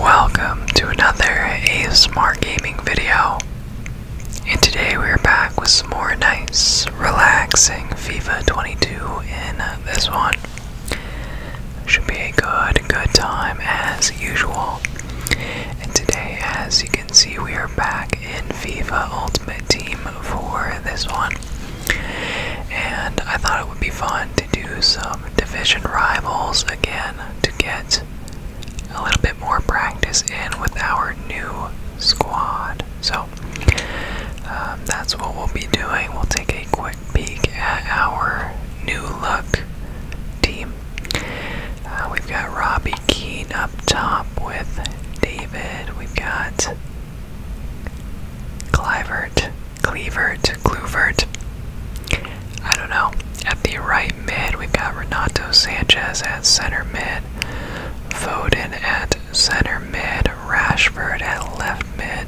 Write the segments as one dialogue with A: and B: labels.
A: Welcome to another A Smart gaming video. And today we are back with some more nice, relaxing FIFA 22 in this one. Should be a good, good time as usual. And today, as you can see, we are back in FIFA Ultimate Team for this one. And I thought it would be fun to do some division rivals again to get a little bit more practice in with our new squad. So um, that's what we'll be doing. We'll take a quick peek at our new look team. Uh, we've got Robbie Keane up top with David. We've got Clivert Clevert, Cluvert. I don't know. At the right mid, we've got Renato Sanchez at center mid, Foden at center mid, Rashford at left mid.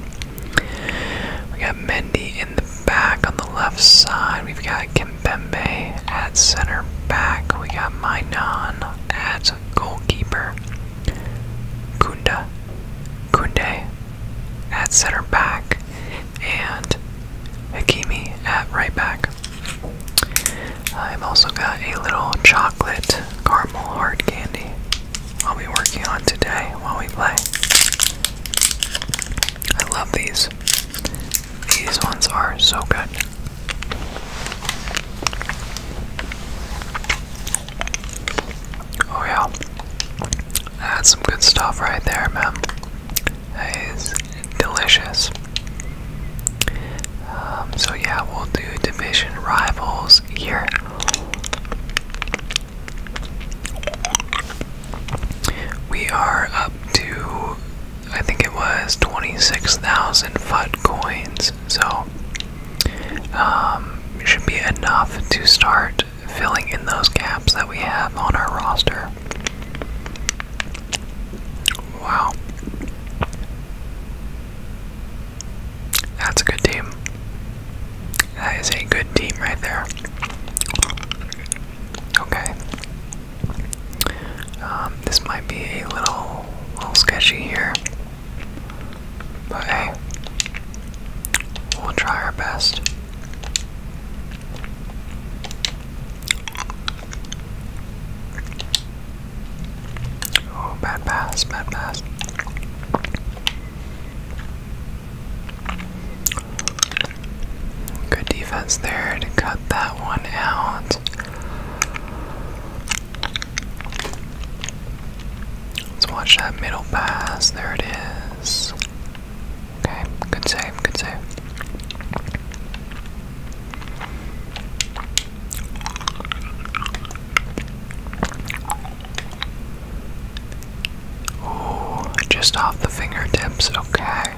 A: We got Mendy in the back on the left side. We've got Kimpembe at center back. We got Mainon at goalkeeper. Kunda. Kunde at center back and Hakimi at right back. I've also got a little chocolate caramel hard candy I'll be working on today while we play. I love these. These ones are so good. Oh yeah. That's some good stuff right there, man. It's delicious. Um, so yeah, we'll do division rivals here. We are up to, I think it was 26,000 foot coins, so it um, should be enough to start filling in those gaps that we have on our roster. Wow. That's a good team. That is a good team right there. Okay. Um, this might be a little, little sketchy here, but hey, We'll try our best. Oh, bad pass, bad pass. Good defense there to cut that one out. Let's watch that middle pass. There it is. Okay, good save, good save. Ooh, just off the fingertips, okay.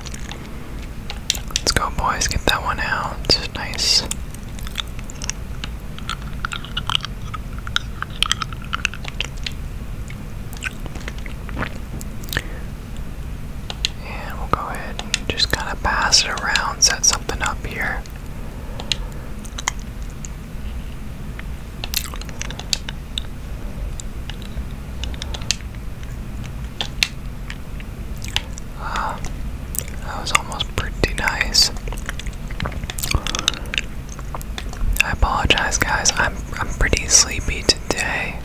A: Let's go, boys, get that one out. Nice. And we'll go ahead and just kind of pass it around, set something up here. Uh, that was almost pretty nice. I apologize, guys. I'm I'm pretty sleepy today,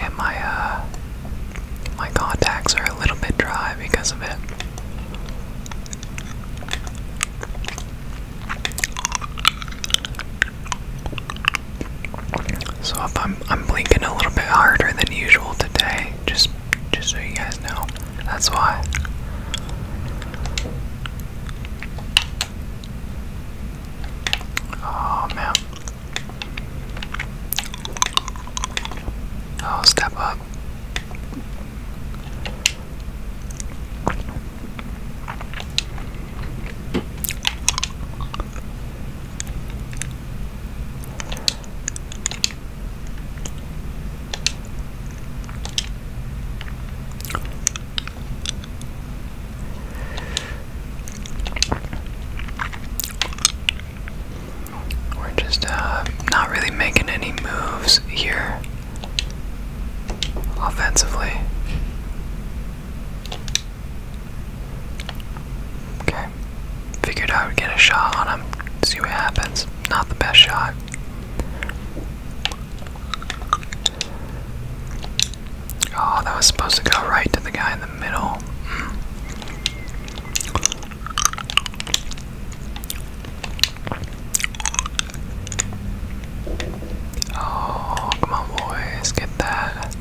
A: and my uh my contacts are a little bit dry because of it. So I'm I'm blinking a little bit harder than usual today, just just so you guys know, that's why. Oh man. Oh, step up. We're just uh, not really making any moves here offensively. Okay. Figured I would get a shot on him. See what happens. Not the best shot. Oh, that was supposed to go right to the guy in the middle. Hmm. Oh, come on, boys, get that.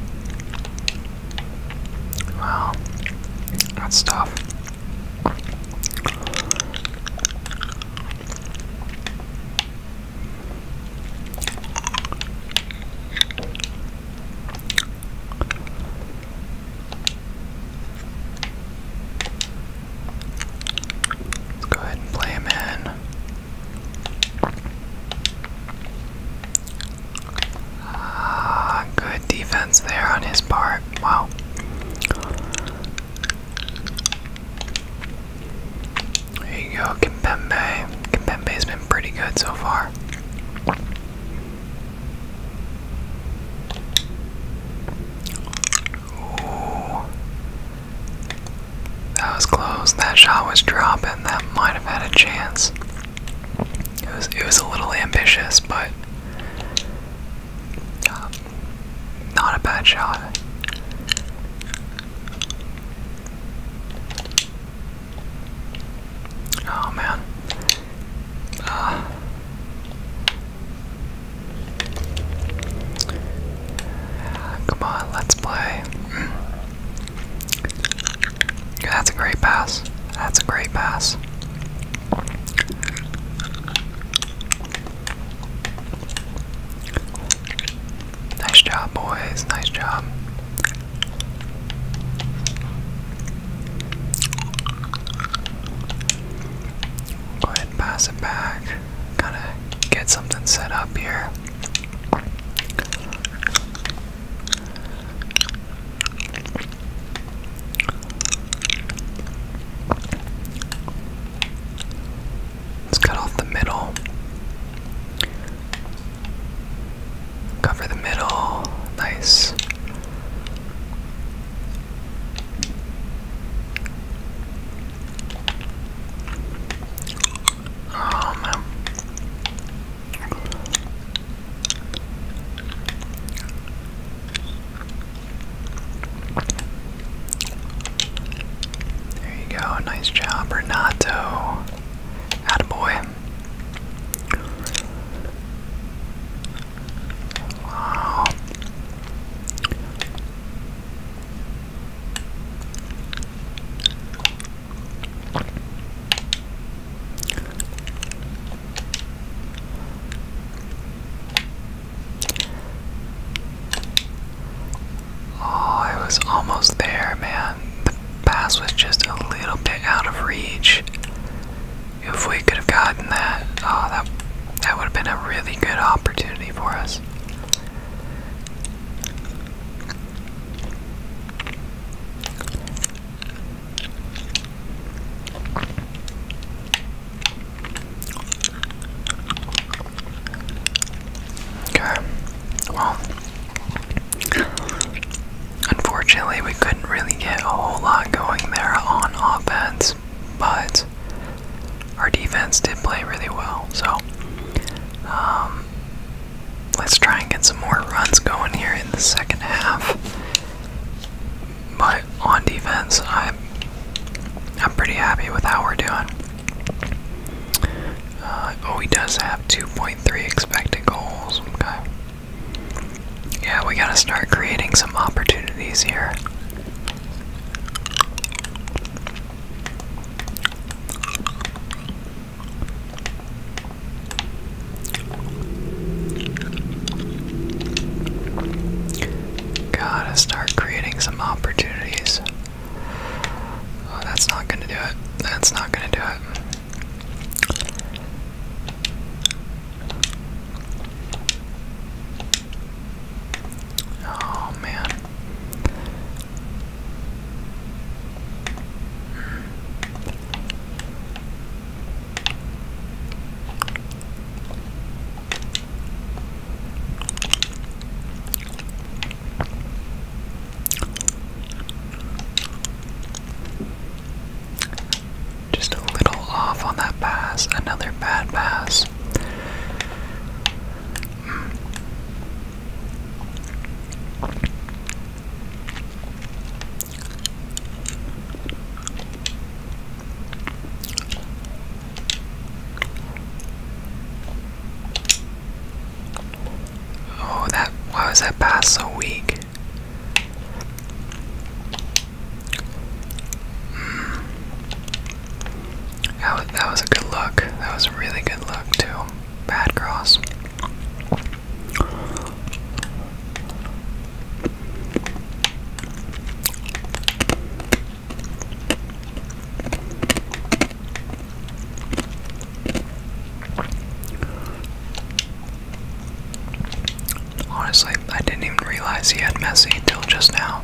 A: Well, that's tough. Let's go ahead and play him in. Ah, good defense there on his part. Wow. There you go, Kimpembe. Kimpembe's been pretty good so far. Ooh. That was close. That shot was dropping. That might have had a chance. It was it was a little ambitious, but uh, not a bad shot. Oh man. Uh, come on, let's play. Mm. That's a great pass. That's a great pass. Nice job, boys. Nice job. Go ahead pass it back. Gotta get something set up here. Let's cut off the middle. Cover the middle. Nice. Oh man. There you go. Nice job, Renato. Attaboy. Wow. Oh, I was almost there, man. The pass was just a little bit out of reach. If we could have gotten that, oh, that that would have been a really good opportunity for us. Okay. Well, unfortunately, we couldn't really get a whole lot going there on offense, but our defense did play really well. So, um, let's try and get some more runs going here in the second half. But on defense, I'm I'm pretty happy with how we're doing. Uh, oh, he does have 2.3 expected goals. Okay. Yeah, we gotta start creating some opportunities here. Gotta start creating some opportunities. Oh, that's not gonna do it. That's not gonna do it. Oh man. Just a little off on that pass. Another bad pass. Oh, that why was that pass so weak? Hmm. That that was a good look. That was a really good look too. Bad cross. Honestly, I didn't even realize he had messy until just now.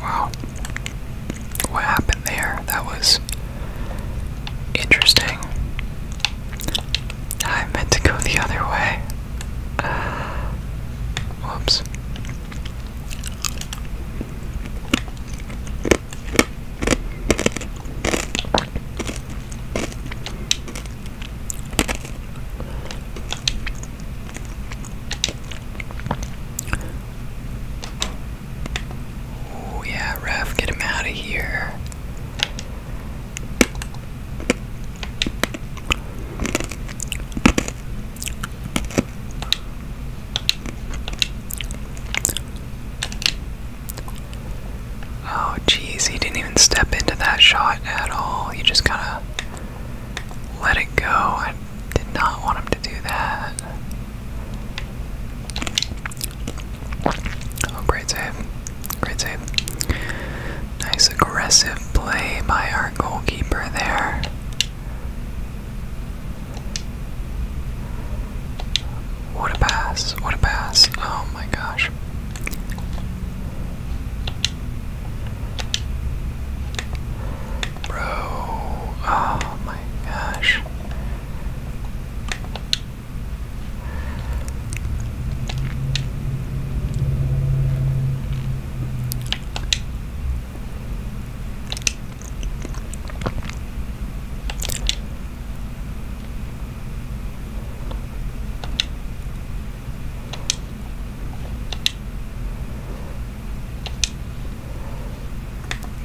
A: Wow. What happened there? That was interesting. I meant to go the other way. whoops. Oh yeah, Ref, get him out of here. Oh, jeez, he didn't even step into that shot at all. He just kind of let it go. I did not want him to do that. Oh, great save. Great save. Nice aggressive play by our goalkeeper there. What a pass. What a pass. Oh my gosh. Bro, oh my gosh.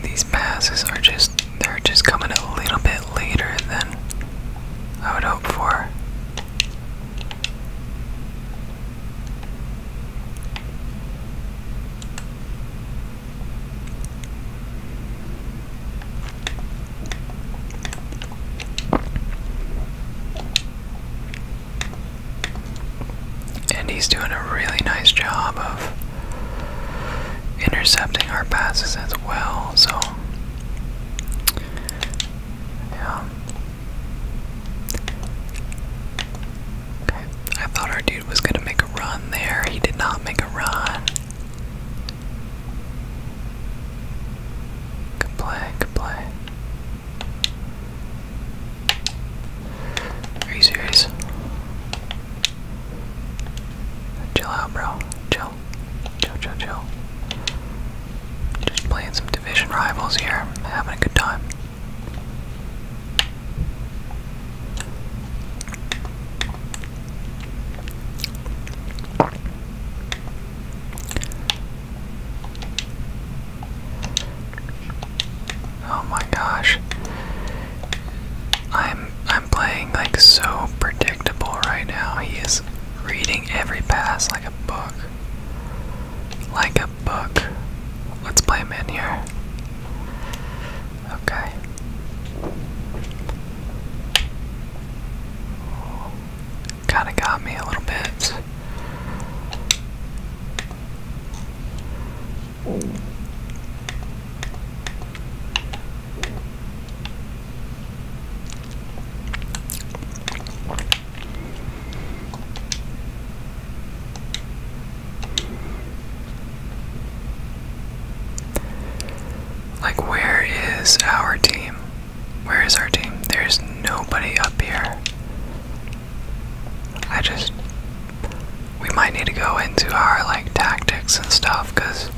A: These passes are just, they're just coming a little bit later than I would hope for. And he's doing a really nice job of intercepting our passes as well, so yeah. Okay. I thought our dude was gonna make a run there. He did not make a run. Good play, good play. Are you serious? Chill out, bro. Chill. Chill, chill, chill. Just playing some division rivals here. Having a good time. Oh my gosh. I'm I'm playing like so predictable right now. He is reading every pass like a book. Like a book. Let's play him in here. Okay. Kinda got me a little bit. Like, where is our team? Where is our team? There's nobody up here. I just. We might need to go into our like tactics and stuff because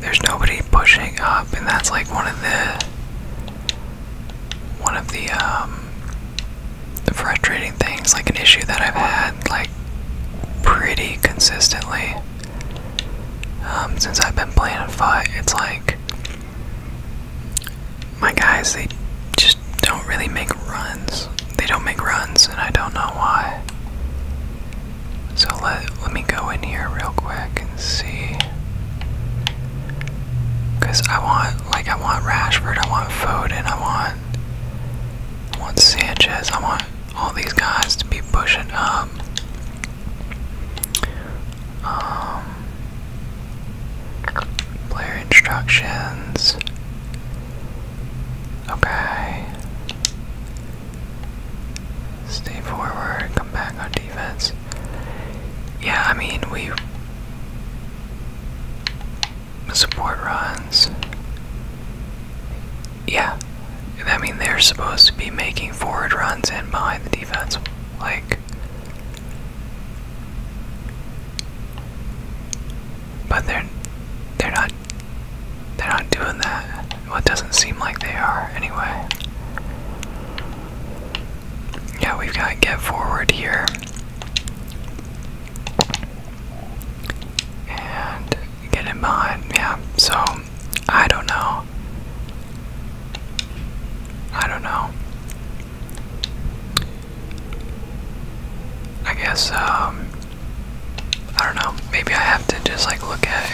A: there's nobody pushing up, and that's like one of the. One of the, um. frustrating things, like an issue that I've had, like, pretty consistently. Um, since I've been playing fight, it's like my guys, they just don't really make runs. They don't make runs, and I don't know why. So let let me go in here real quick and see. Cause I want like I want Rashford, I want Foden, I want I want Sanchez, I want all these guys to be pushing up. Um, player instructions. Okay. Stay forward, come back on defense. Yeah, I mean, we support runs. Yeah, that mean, they're supposed to be making forward runs and behind the defense like, but they're they're not they're not doing that. What doesn't seem like they are anyway. Yeah, we've got get forward here. And get in behind, yeah. So I don't know. I don't know. I guess um, I don't know. Maybe I have to just like look at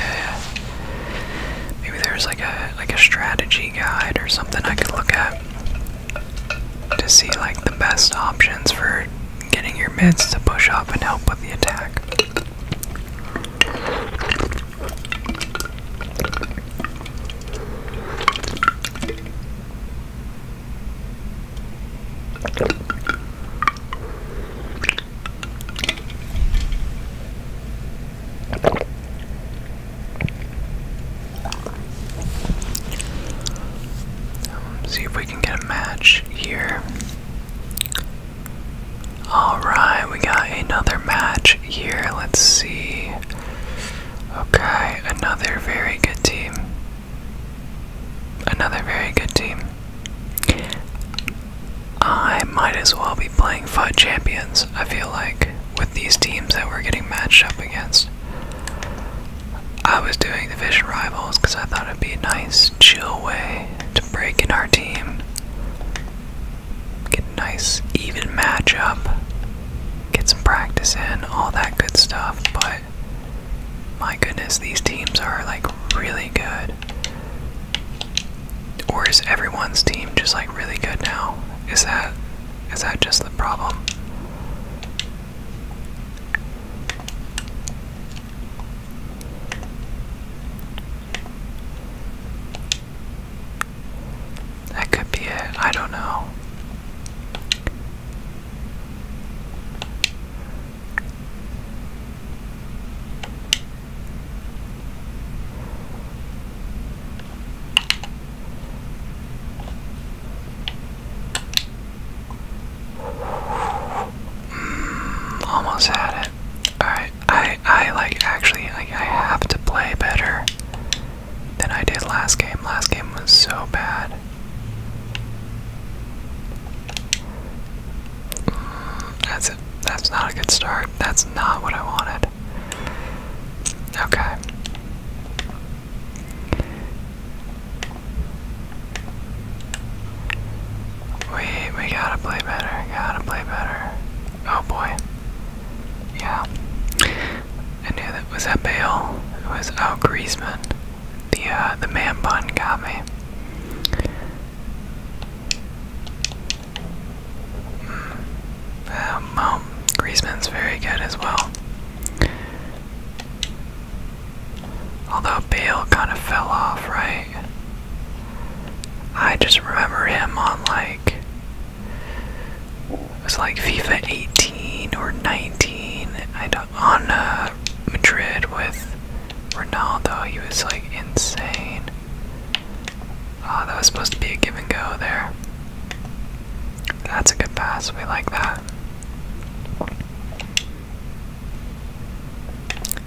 A: Maybe there's like a like a strategy guide or something I could look at to see like the best options for getting your mids to push up and help with the attack see if we can get a match here. Alright, we got another match here. Let's see. Okay, another very good team. Another very good team. I might as well be playing FUD Champions, I feel like, with these teams that we're getting matched up against. I was doing the Division Rivals because I thought it'd be a nice, chill way to break in our team. Get a nice even matchup. Get some practice in, all that good stuff, but my goodness, these teams are like really good. Or is everyone's team just like really good now? Is that is that just the problem? That could be it. I don't know. Mm, almost had it. Alright, I I like actually like I have to play better than I did last game. Last game was so bad. Mm, that's That's not a good start. That's not what I wanted. Okay. We we gotta play better, gotta play better. Oh boy. Yeah. I knew that was at Bale. It was Al oh, Griezmann. The uh, the man bun got me. Hmm. Uh, well, Griezmann's very good as well. Although Bale kind of fell off, right? I just remember him on like it was like FIFA 18 or 19. I don't on uh, Madrid with Ronaldo. He was like insane. Oh, that was supposed to be a give and go there. That's a good pass. We like that.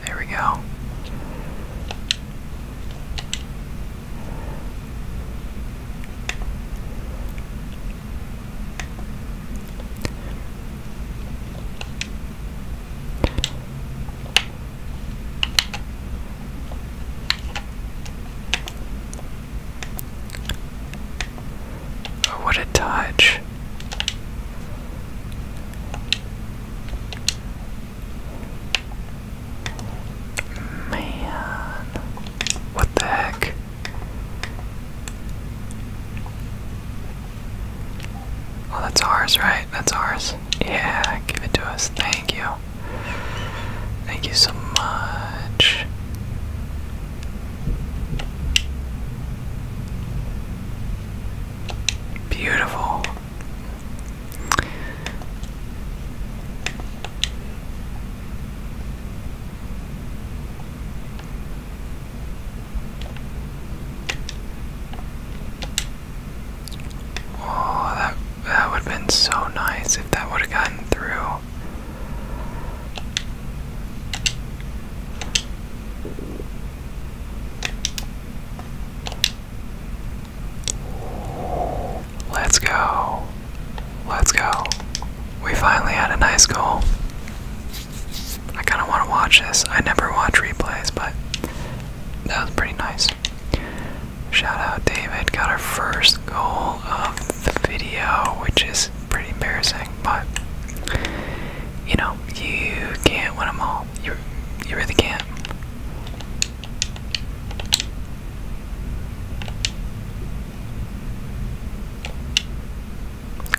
A: There we go. Oh, what a touch. Man, what the heck? Oh, that's ours, right? That's ours. Yeah, give it to us. Thank you. Thank you so much. Beautiful. Oh, that that would have been so nice if that would have gotten through. Let's go. Let's go. We finally had a nice goal. I kind of want to watch this. I never watch replays, but that was pretty nice. Shout out David. Got our first goal of the video, which is pretty embarrassing, but you know, you can't win them all. You, you really can't.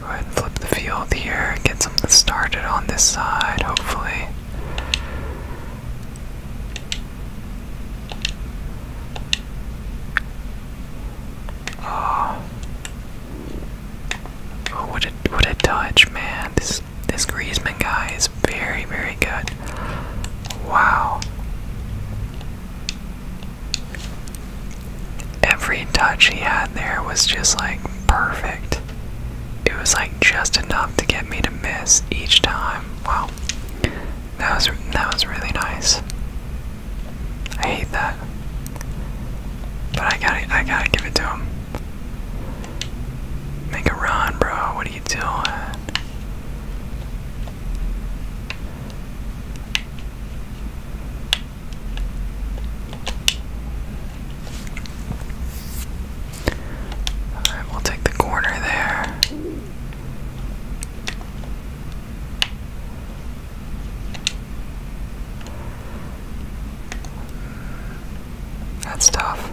A: Go ahead and flip the field here, get something started on this side, hopefully. Oh, oh what a what a touch, man! This this Griezmann guy is very very good. Wow. Every touch he had there was just like perfect. It was like just enough to get me to miss each time. Wow. That was that was really nice. I hate that. But I gotta I gotta give it to him. Make a run, bro. What are you doing? All right, we'll take the corner there. That's tough.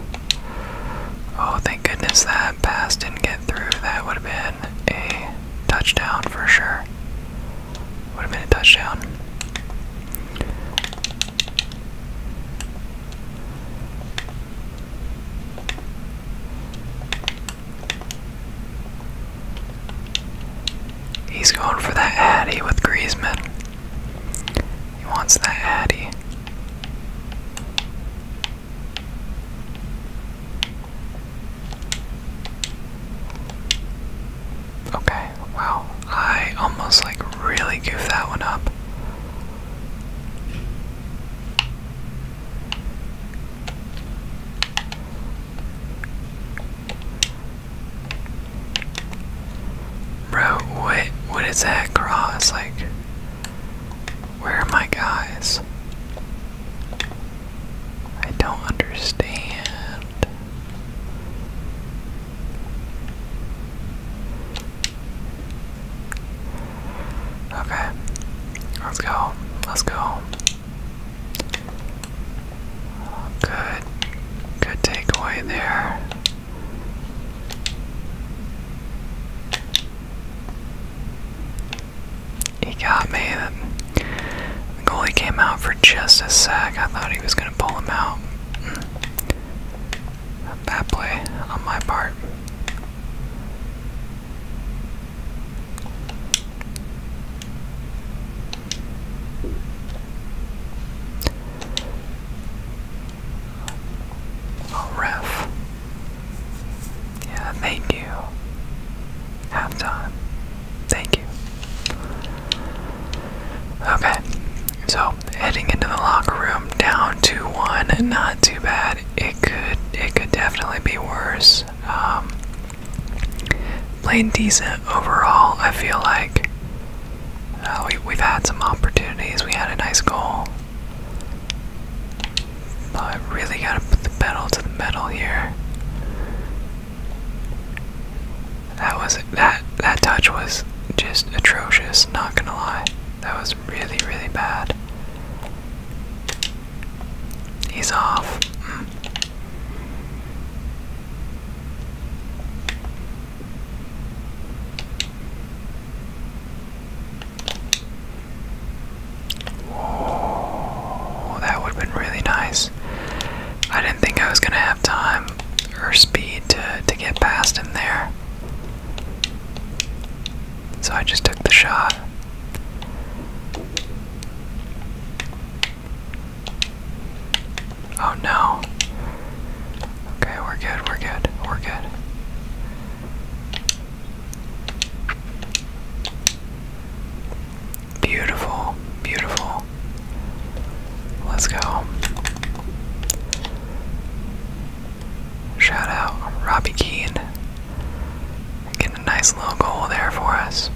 A: Oh, thank goodness that pass didn't get through. That would have been a touchdown for sure. Would have been a touchdown. He's going for that Addy with Griezmann. He wants that Addy. Okay, wow. I almost like really goofed that one up. Bro, what what is that cross like? Where are my guys? I don't understand. Okay, let's go. Let's go. Good. Good takeaway there. He got me. The goalie came out for just a sec. I thought he was going to pull him out. bad play on my part. Oh, ref. Yeah, thank you. Halftime. Thank you. Okay, so heading into the locker room, down two one, not too bad. It could, it could definitely be worse. Um, playing decent overall. I feel like uh, we, we've had some opportunities. We had a nice goal. But really gotta put the pedal to the metal here. That was that that touch was just atrocious, not gonna lie. That was really, really bad. He's off. Mm. Oh, that would have been really nice. I didn't think I was going to have time or speed to, to get past him there. So I just took the shot. Oh no. Okay, we're good, we're good, we're good. Beautiful, beautiful. Let's go. Shout out Robbie Keane. Getting a nice little goal there for us.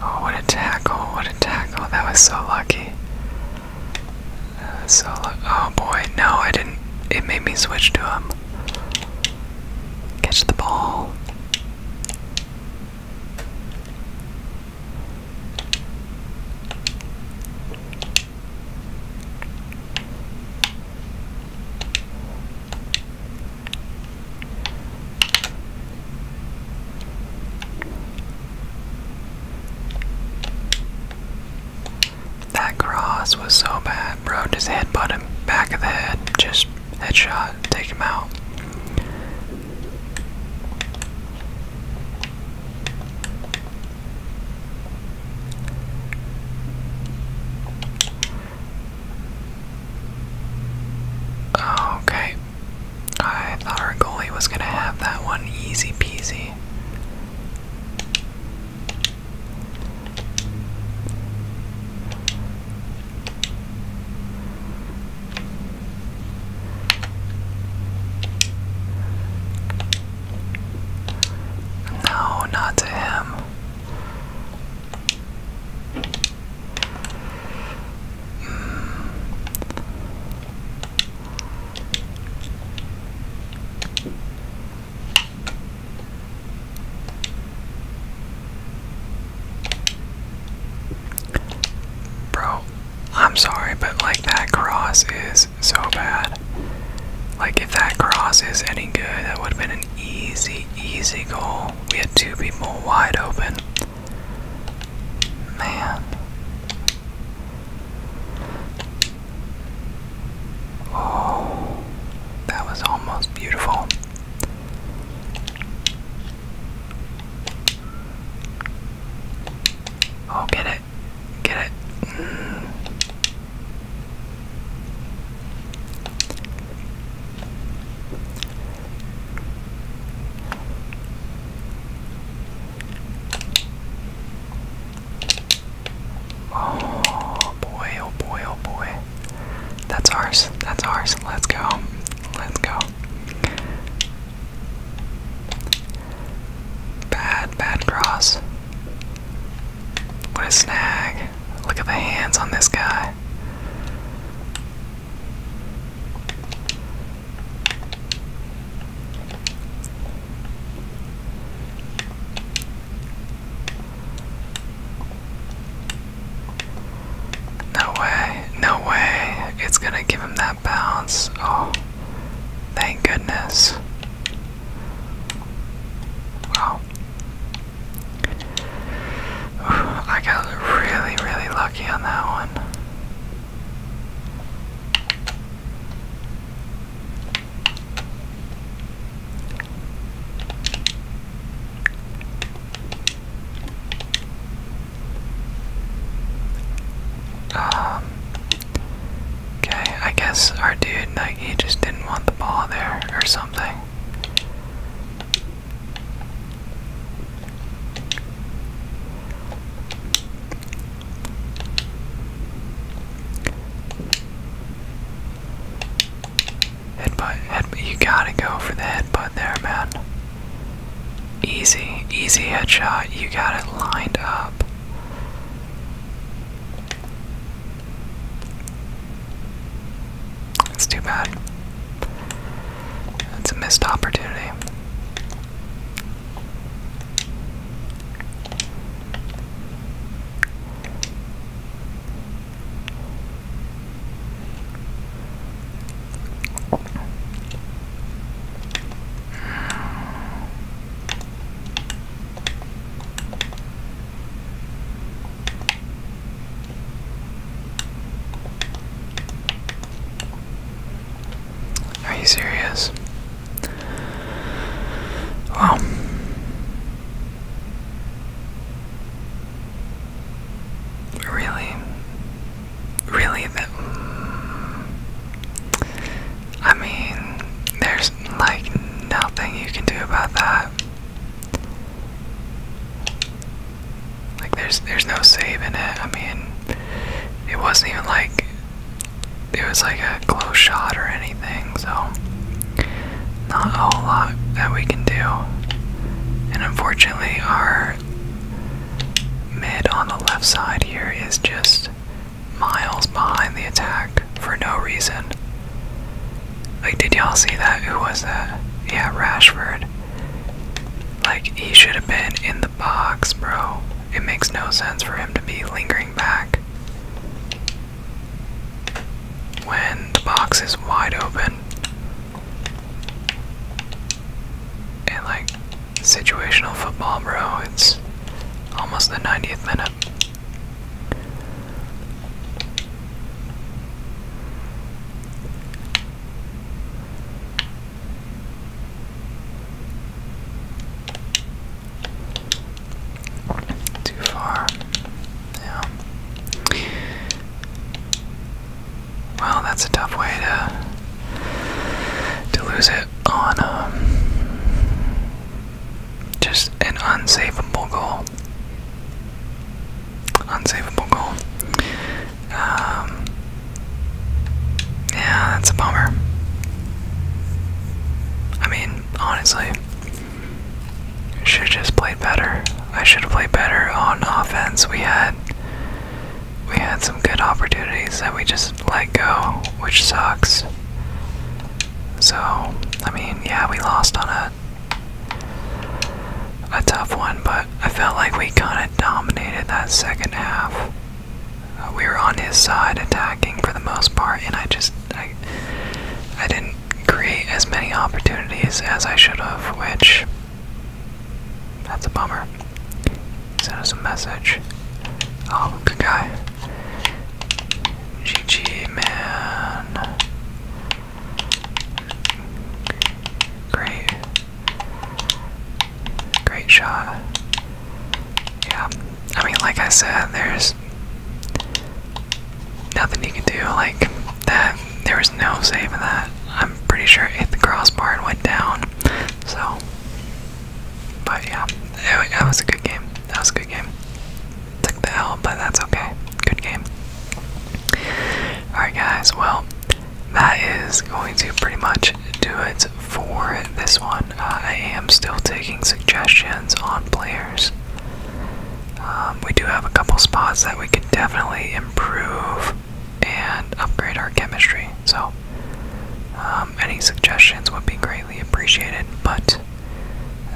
A: Oh, what a tackle, what a tackle. That was so lucky. so lucky. Oh boy, no, I didn't. It made me switch to him. Um, catch the ball. That cross was so bad, bro. Just headbutt in back of the head, just headshot, take him out. Okay. I thought our goalie was going to have that one easy peasy. No, not to him. Hmm. Bro, I'm sorry, but like that cross is so bad. Like, if that cross is any good, that would have been an easy, easy goal. We had two people wide open. Man. Oh, that was almost beautiful. Oh, get it, Get it. Mm. Oh boy, oh boy, oh boy. That's ours. That's ours. Let's go. Let's go. Bad, bad cross. What a snag. Look at the hands on this guy. No way, no way. It's gonna give him that bounce. Oh, thank goodness. Wow. I got really, really lucky on that one. Um, Okay, I guess our dude, like, he just didn't want the ball there or something. Headbutt, headbutt, you gotta go for the headbutt there, man. Easy, easy headshot, you got it lined up. It's too bad. It's a missed opportunity. Are you serious? Wow. Really? Really? Mm. I mean, there's like nothing you can do about that. Like there's there's no saving it. I mean, it wasn't even like it was like a close shot or anything. So not a whole lot that we can do. And unfortunately, our mid on the left side here is just miles behind the attack for no reason. Like, did y'all see that? Who was that? Yeah, Rashford. Like, he should have been in the box, bro. It makes no sense for him to be lingering back when the box is wide open. And, like, situational football, bro, it's almost the 90th minute. Too far. Yeah. Well, that's a tough way to to lose it on um, just an unsavable goal. Unsavable goal. Um, yeah, that's a bummer. I mean, honestly, should have just played better. I should have played better on offense. We had we had some good opportunities that we just let go, which sucks. So, I mean, yeah, we lost on a a tough one, but I felt like we kind of dominated that second half. Uh, we were on his side attacking for the most part, and I just I, I didn't create as many opportunities as I should have, which that's a bummer. Send us a message. Oh, good guy. GG, man. Great. Great shot. Yeah. I mean, like I said, there's nothing you can do. Like, that, there was no saving that. I'm pretty sure it hit the crossbar and went down. So, but yeah, that was a good game. That was a good game took the L, but that's okay. Good game. Alright, guys, well, that is going to pretty much do it for this one. Uh, I am still taking suggestions on players. Um, we do have a couple spots that we can definitely improve and upgrade our chemistry. So, um, um, any suggestions would be greatly appreciated, but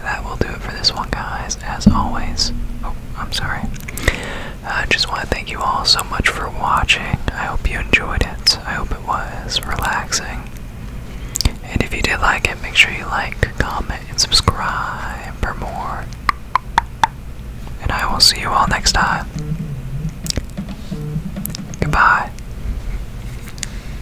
A: that will do it for this one, guys. As always, oh, I'm sorry. I just want to thank you all so much for watching. I hope you enjoyed it. I hope it was relaxing. And if you did like it, make sure you like, comment, and subscribe for more. And I will see you all next time. Goodbye.